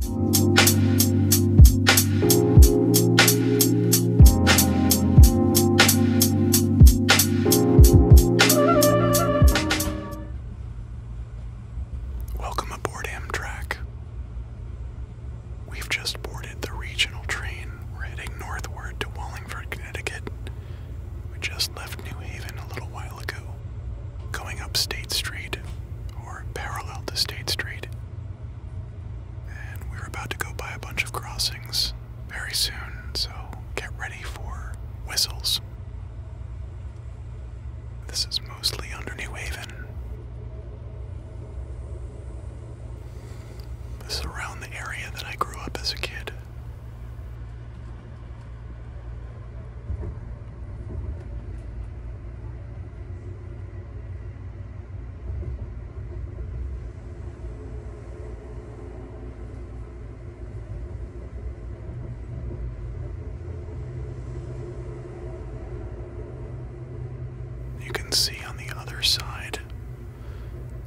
Welcome aboard Amtrak. We've just boarded the regional train. We're heading northward to Wallingford, Connecticut. We just left New Haven a little while ago. Going up State Street, or parallel to State Street. And we're about to go by a bunch of crossings very soon, so get ready for whistles. This is mostly under New Haven. This is around the area that I grew up as a kid. You can see on the other side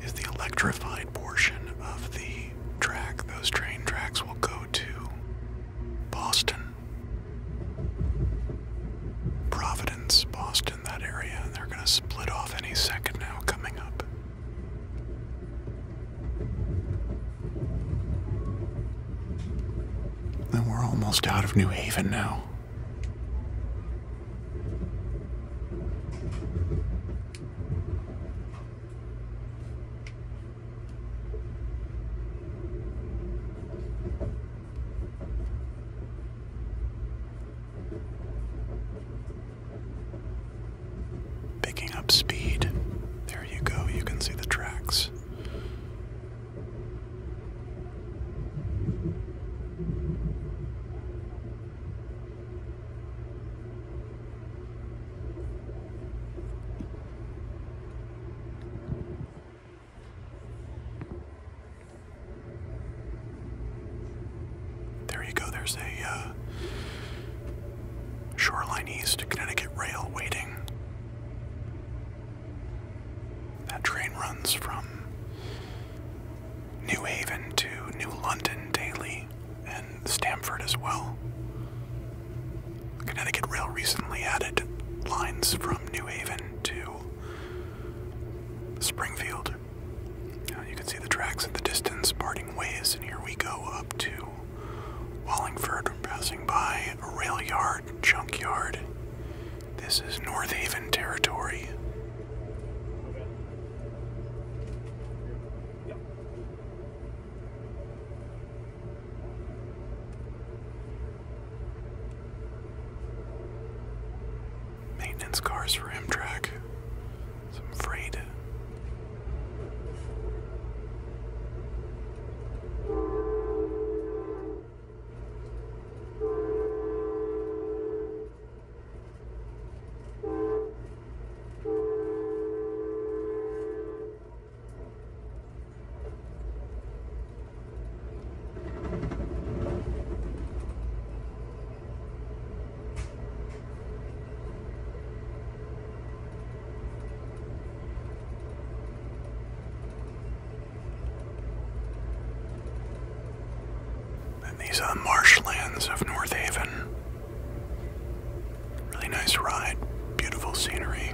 is the electrified portion of the track. Those train tracks will go to Boston. Providence, Boston, that area, and they're going to split off any second now coming up. then we're almost out of New Haven now. Picking up speed. There you go, you can see the tracks. There you go. There's a uh, Shoreline East Connecticut Rail waiting. That train runs from New Haven to New London daily and Stamford as well. Connecticut Rail recently added lines from New Haven to Springfield. Uh, you can see the tracks in the distance parting ways, and here we go up to Wallingford, passing by a rail yard, junkyard. This is North Haven territory. Maintenance cars for Amtrak. So I'm afraid. And these are the marshlands of North Haven. Really nice ride, beautiful scenery.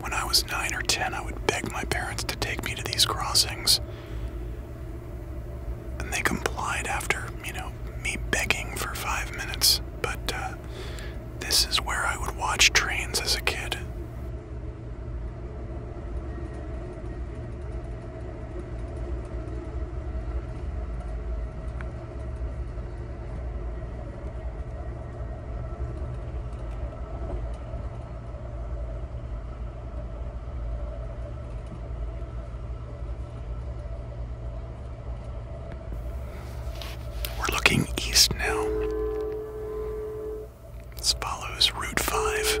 When I was nine or ten, I would beg my parents to take me to these crossings. And they complied after, you know, me begging for five minutes. But, uh, this is where I would watch trains as a kid. We're looking east now. This follows Route 5.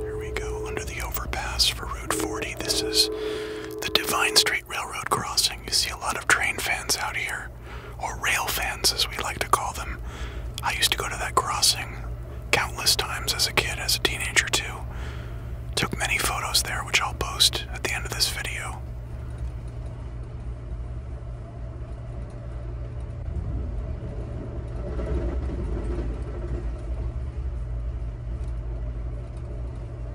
Here we go under the overpass for Route 40. This is the Divine Street Railroad crossing. You see a lot of train fans out here, or rail fans as we like to call them. I used to go to that crossing countless times as a kid, as a teenager too. Took many photos there, which I'll post at the end of this video.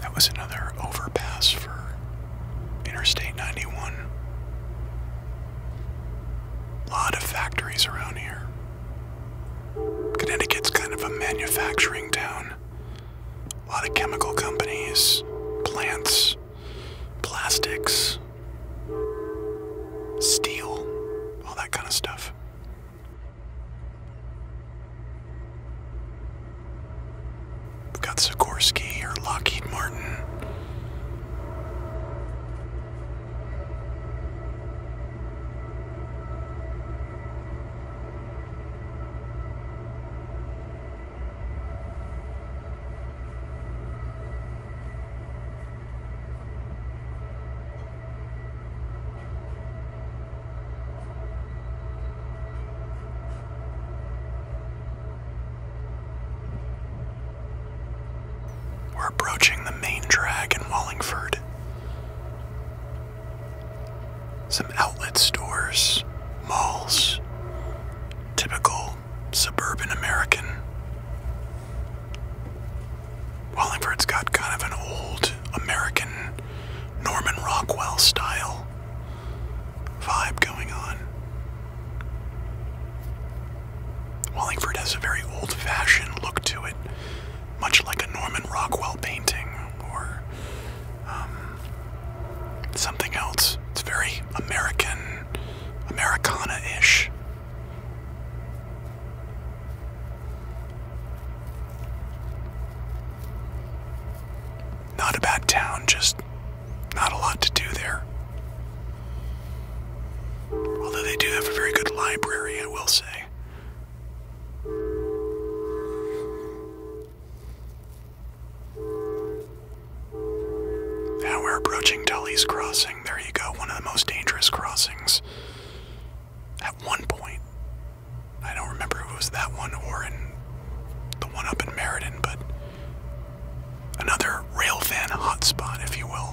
That was another overpass for Interstate 91. A lot of factories around here. Connecticut's kind of a manufacturing town. A lot of chemical companies, plants, plastics, steel, all that kind of stuff. We've got Sikorsky or Lockheed Martin. We're approaching the main drag in Wallingford. Some outlet stores, malls, typical suburban American. Wallingford's got kind of an old American Norman Rockwell style vibe going on. Wallingford has a very old fashioned look to it, much like a Norman Rockwell painting or um, something else. It's very American, Americana ish. Not a bad town, just not a lot to do there. Although they do have a very good library, I will say. Now we're approaching Tully's Crossing. There you go, one of the most dangerous crossings. At one point, I don't remember if it was that one or the one up in Meriden, but another railfan hotspot, if you will.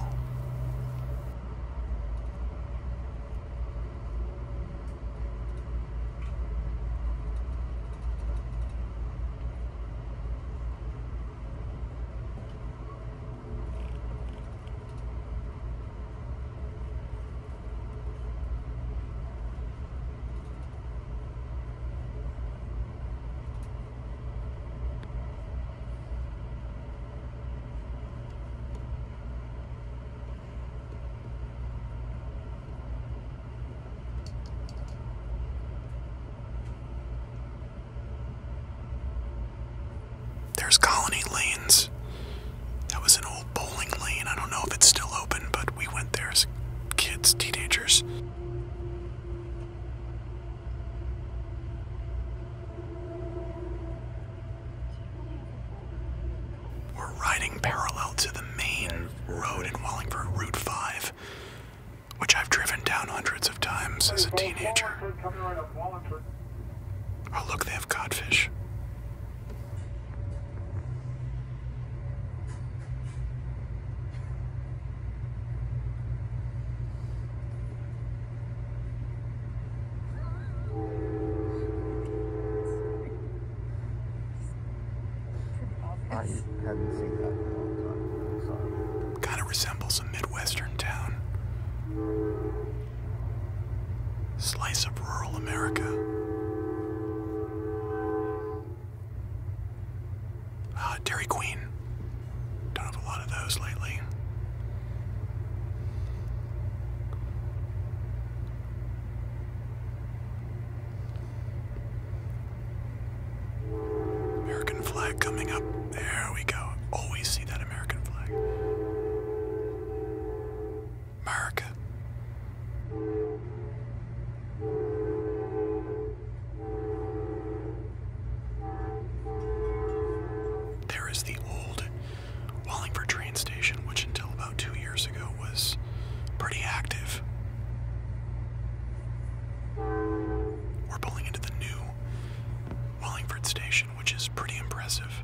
There's colony lanes that was an old bowling lane. I don't know if it's still open, but we went there as kids, teenagers. We're riding parallel to the main road in Wallingford, Route 5, which I've driven down hundreds of times as a teenager. Oh, look, they have codfish. I hadn't seen that in a long time. Kind of resembles a Midwestern town. Slice of rural America. Ah, Dairy Queen. Don't have a lot of those lately. American flag coming up. There we go. Always see that American flag. America. There is the old Wallingford train station, which until about two years ago was pretty active. We're pulling into the new Wallingford station, which is pretty impressive.